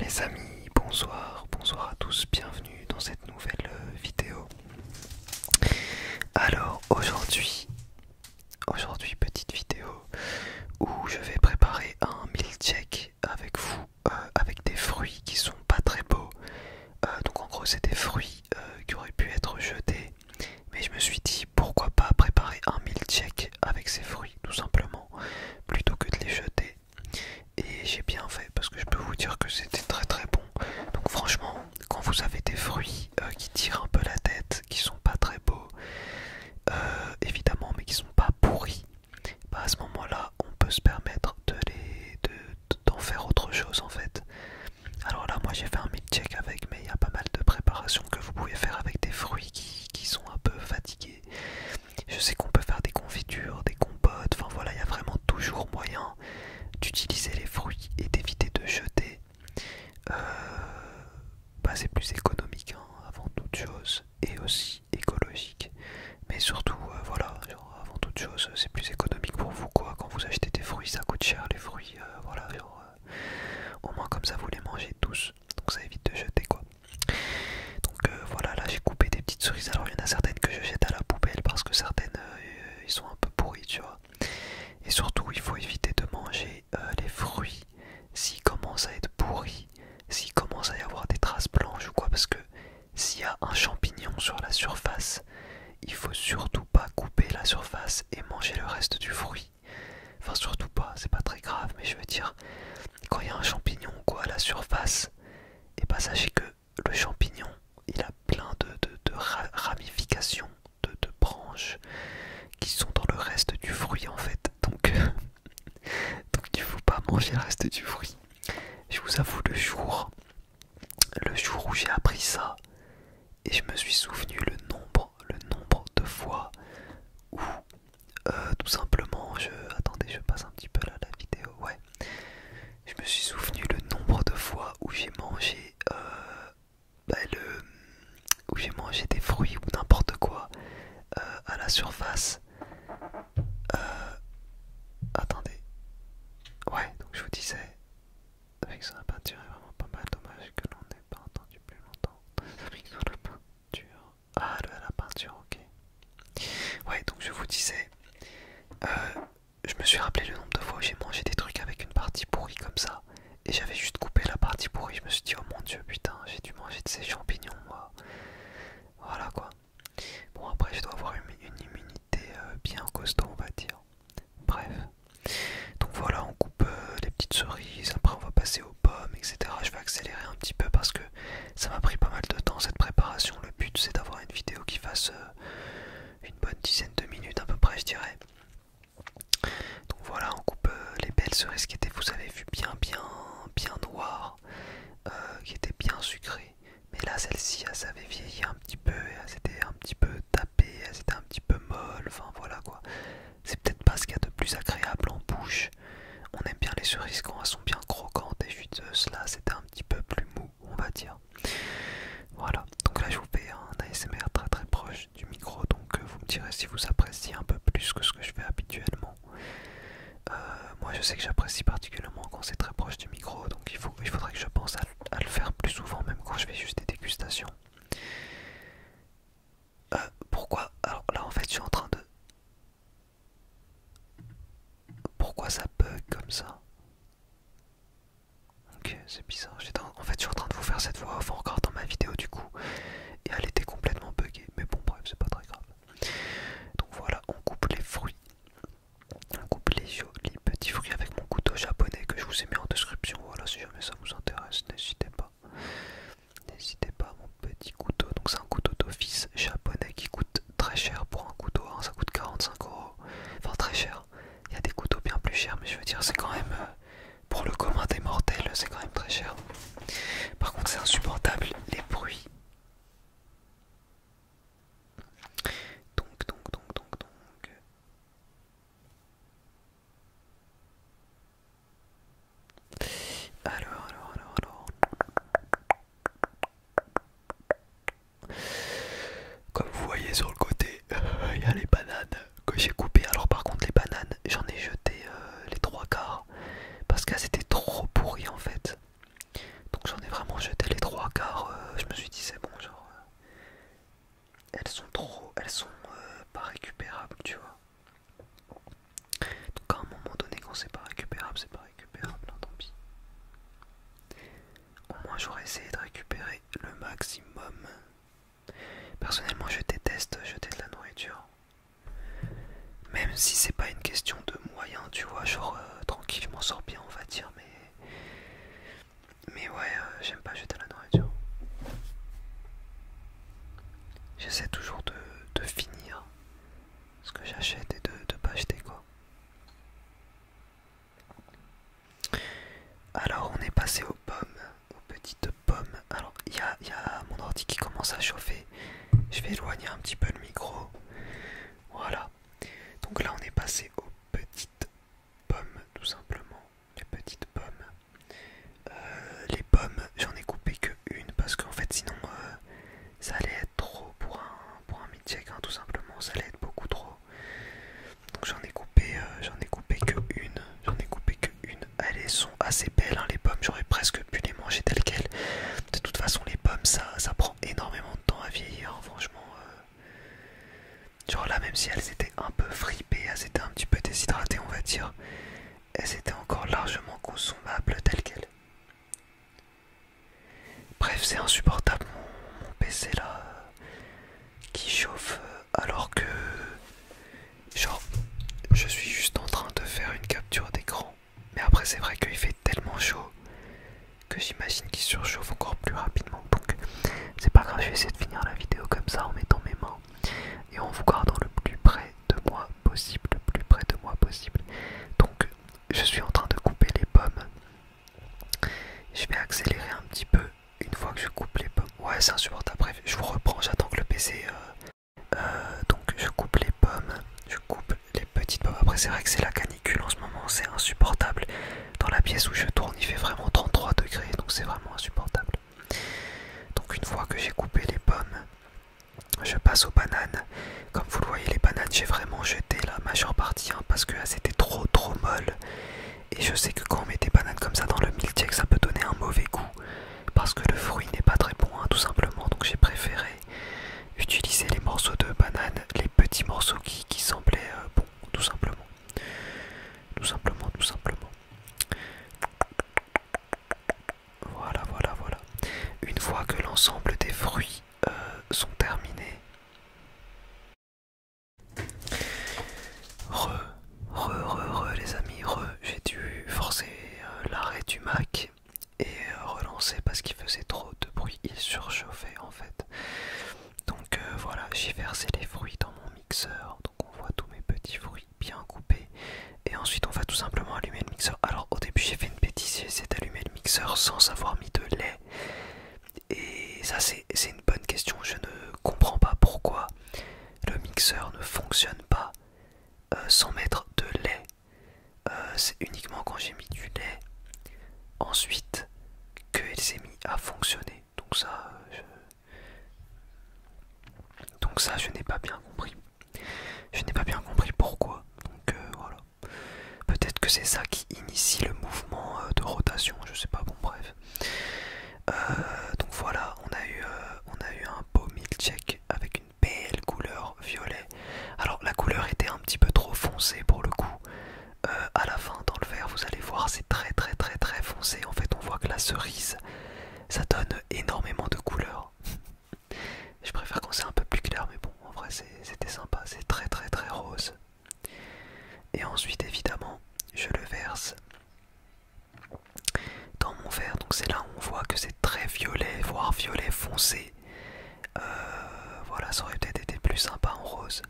Les amis, bonsoir, bonsoir à tous, bienvenue dans cette nouvelle euh, vidéo. Alors aujourd'hui, aujourd'hui petite vidéo où je vais préparer un milkshake avec vous, euh, avec des fruits qui sont pas très beaux. Euh, donc en gros c'est des fruits qui auraient pu être jetés, mais je me suis dit pourquoi pas préparer un milkshake avec ces fruits tout simplement plutôt que de les jeter et j'ai bien fait parce que je peux vous dire que c'était très très bon donc franchement quand vous avez des fruits euh, qui tirent un peu la tête qui sont pas très beaux euh, évidemment mais qui sont pas pourris bah, à ce moment là on peut se permettre de les d'en faire autre chose en fait alors là moi j'ai fait un mid-check avec mais il y a pas mal de préparations que vous pouvez faire avec des fruits qui sont un peu fatigués je sais qu'on peut faire des confitures, des compotes, enfin voilà, il y a vraiment toujours moyen d'utiliser les fruits et d'éviter de jeter. Euh, bah, c'est plus économique hein, avant toute chose et aussi écologique. Mais surtout, euh, voilà, avant toute chose, c'est plus économique pour vous quoi. Quand vous achetez des fruits, ça coûte cher les fruits, euh, voilà, au moins comme ça vous les mangez tous donc ça évite de jeter quoi. Donc euh, voilà, là j'ai coupé des petites cerises. Alors il y en a certaines que je jette à la poubelle parce que certaines euh, ils sont un peu pourries, tu vois. Et surtout, il faut éviter de manger euh, les fruits s'ils commencent à être pourris, s'ils commence à y avoir des traces blanches ou quoi, parce que s'il y a un champignon sur la surface, il faut surtout pas couper la surface et manger le reste du fruit. Enfin, surtout pas, c'est pas très grave, mais je veux dire, quand il y a un champignon ou quoi à la surface, et eh bah ben, sachez que le champignon, il a plein de, de, ramifications, de, branches qui sont dans le reste du fruit en fait. Donc, donc il ne faut pas manger le reste du fruit. Je vous avoue, le jour, le jour où j'ai appris ça, et je me suis souvenu le nombre, le nombre de fois où euh, tout simplement, je attendez, je passe un petit peu là la vidéo. Ouais, je me suis souvenu le nombre de fois où j'ai mangé, euh, bah, le, où j'ai mangé des fruits ou n'importe quoi euh, à la surface. Euh, attendez, ouais, donc je vous disais avec son peinture est vraiment pas mal. Dommage que l'on n'ait pas entendu plus longtemps. Avec son la peinture. Ah, la peinture, ok. Ouais, donc je vous disais, euh, je me suis rappelé le nombre de fois où j'ai mangé des trucs avec une partie pourrie comme ça, et j'avais juste coupé la partie pourrie. Je me suis dit, oh mon dieu, putain, j'ai dû manger de ces champignons, moi. Voilà quoi. Bon, après, je dois avoir une, immunité euh, bien costaud, on va dire. Bref. Donc voilà, on coupe euh, les petites cerises. Après, on va passer pommes, etc. Je vais accélérer un petit peu parce que ça m'a pris pas mal de temps cette préparation. Le but c'est d'avoir une vidéo qui fasse euh, une bonne dizaine de minutes à peu près, je dirais. Donc voilà, on coupe euh, les belles cerises qui étaient, vous avez vu, bien, bien, bien noires, euh, qui étaient bien sucrées. Mais là, celle-ci, elle savait vieilli un petit peu, elle s'était un petit peu tapée, elle s'était un petit peu molle, enfin voilà quoi. C'est peut-être pas ce qu'il y a de plus agréable en bouche. On aime bien les cerises quand elles sont bien croquantes et juteuses. Là, c'était un petit peu plus mou, on va dire. Voilà, donc là, je vous fais un ASMR très très proche du micro. Donc, euh, vous me direz si vous appréciez un peu plus que ce que je fais habituellement. Euh, moi, je sais que j'apprécie particulièrement quand c'est très proche du micro. Donc, il, faudrait que je pense à le faire plus souvent, même quand je fais juste des dégustations. Euh, pourquoi Alors là, en fait, je suis en train de. Pourquoi ça bug comme ça Ok, c'est bizarre. En... en fait, je suis en train de vous faire cette voix encore en ma vidéo du coup. Et elle était complètement buggée. Mais bon, bref, c'est pas très grave. Donc voilà, on coupe les fruits. On coupe les jolis petits fruits avec mon couteau japonais que je vous ai mis en description. Voilà, si jamais ça vous intéresse, n'hésitez pas. N'hésitez pas à mon petit couteau. Donc c'est un couteau d'office japonais qui coûte très cher pour un couteau. Hein. ça coûte 45 euros. Enfin très cher. Il y a des couteaux bien plus chers, mais je veux dire c'est quand même euh, pour le commun des mortels, c'est quand même très cher. Par contre c'est insupportable les bruits. Donc donc donc donc donc. Alors, alors, alors, Comme vous voyez sur le côté, il y a les bananes que j'ai coupées. Alors par contre les bananes, j'en ai jeté euh, les trois quarts parce qu'elles étaient trop pourries en fait. Donc j'en ai vraiment jeté les trois quarts. Euh, je me suis dit c'est bon, genre euh, elles sont trop, elles sont pas récupérables, tu vois. En cas, à un moment donné quand c'est pas récupérable, c'est pas récupérable, Non hein, tant pis. Au moins j'aurais essayé de récupérer le maximum. Personnellement je déteste jeter de la nourriture. Même si c'est pas une question de moyens, tu vois, genre euh, tranquille, je m'en sors bien on va dire, mais... ouais, euh, j'aime pas jeter de la nourriture. J'essaie toujours de, finir ce que j'achète et de ne pas acheter quoi. Alors on est passé aux pommes, aux petites pommes. Alors il y a, y a mon ordi qui commence à chauffer. Je vais éloigner un petit peu le micro. Voilà. Donc là on est passé aux petites pommes tout simplement les petites pommes. Euh, les pommes, j'en ai coupé que une parce qu'en fait, sinon, euh, ça allait être trop pour un, pour un mid-check, hein, tout simplement. Ça allait être beaucoup trop. Donc, j'en ai coupé, euh, j'en ai coupé que une. J'en ai coupé que une. Elles sont assez belles, hein, les pommes. J'aurais presque pu les manger telles quelles. De toute façon, les pommes, ça, ça prend énormément de temps à vieillir, hein, franchement. Genre là, même si elles étaient un peu fripées, elles étaient un petit peu déshydratées, on va dire. Et c'était encore largement consommable, tel qu'elle. Bref, c'est insupportable mon PC là qui chauffe euh, alors que genre je suis juste en train de faire une capture d'écran. Mais après c'est vrai qu'il fait tellement chaud que j'imagine qu'il surchauffe encore plus rapidement. Donc c'est pas grave, je vais essayer de finir la vidéo comme ça en mettant mes mains et en vous gardant le plus près de moi possible, le plus près de moi possible. Donc je suis en train de couper les pommes. Je vais accélérer un petit peu une fois que je coupe les pommes. Ouais c'est insupportable, je vous reprends, j'attends que le PC... Euh, euh, donc je coupe les pommes, je coupe les petites pommes. Après c'est vrai que c'est la canicule en ce moment, c'est insupportable. Dans la pièce où je tourne il fait vraiment 33 degrés, donc c'est vraiment insupportable. Donc une fois que j'ai coupé les pommes, je passe aux bananes. Comme vous le voyez, les bananes, j'ai vraiment jeté la majeure partie hein, parce que c'était étaient trop trop molle Et je sais que quand on met des bananes comme ça dans le milkshake, ça peut donner un mauvais goût parce que le fruit n'est pas très bon, hein, tout simplement. Donc j'ai préféré utiliser les morceaux de bananes, les petits morceaux qui, semblaient bon, euh, bons, tout simplement. Tout simplement, tout simplement. Voilà, voilà, voilà. Une fois que l'ensemble des fruits euh, sont terminés, re, re, re, re, les amis, re. J'ai dû forcer euh, l'arrêt du Mac et euh, relancer parce qu'il faisait trop de bruit. Il surchauffait en fait. Donc voilà, j'ai versé les fruits dans mon mixeur. Donc on voit tous mes petits fruits bien coupé. Et ensuite, on va tout simplement allumer le mixeur. Alors, au début, j'ai fait une bêtise, c'est d'allumer le mixeur sans avoir mis de lait. Et ça, c'est une bonne question. Je ne comprends pas pourquoi le mixeur ne fonctionne pas euh, sans mettre de lait. Euh, c'est uniquement quand j'ai mis du lait ensuite qu'elle s'est mis à fonctionner. Donc ça, je... donc ça, je n'ai pas bien compris. Je n'ai pas bien compris pourquoi. Donc euh, voilà. Peut-être que c'est ça qui initie le mouvement euh, de rotation. Je ne sais pas. Bon bref. Euh, donc voilà, on a eu, un beau milkshake avec une belle couleur violet. Alors la couleur était un petit peu trop foncée pour le coup. à la fin dans le verre, vous allez voir, c'est très très très très foncé. En fait, on voit que la cerise ça donne énormément de couleurs. Je préfère quand c'est un peu plus clair, mais bon, en vrai, c'était sympa, c'est très très très rose. Et ensuite, évidemment, je le verse dans mon verre. Donc c'est là où on voit que c'est très violet, voire violet foncé. Euh, voilà, ça aurait peut-être été plus sympa en rose.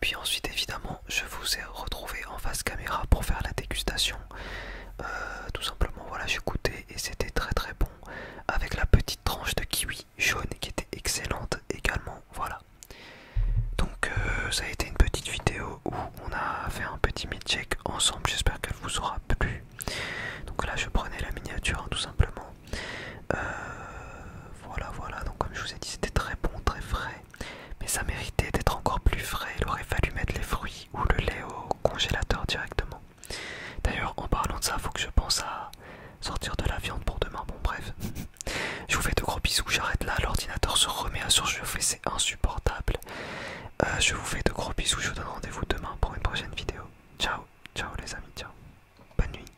Puis ensuite évidemment je vous ai retrouvé en face caméra pour faire la dégustation. Euh, tout simplement voilà j'ai goûté et c'était très très bon avec la petite tranche de kiwi jaune qui était excellente également voilà. Donc euh, ça a été une petite vidéo où on a fait un petit mid-check ensemble, j'espère qu'elle vous aura plu. Donc là je prenais la miniature tout simplement. Euh, voilà voilà donc comme je vous ai dit c'était très bon, très frais, mais ça méritait d'être encore plus frais, il aurait fallu mettre les fruits ou le lait au congélateur directement. D'ailleurs, en parlant de ça, faut que je pense à sortir de la viande pour demain, bon bref. Je vous fais de gros bisous, j'arrête là, l'ordinateur se remet à surchauffer, c'est insupportable. Euh, je vous fais de gros bisous, je vous donne rendez-vous demain pour une prochaine vidéo. Ciao, ciao les amis, ciao. Bonne nuit.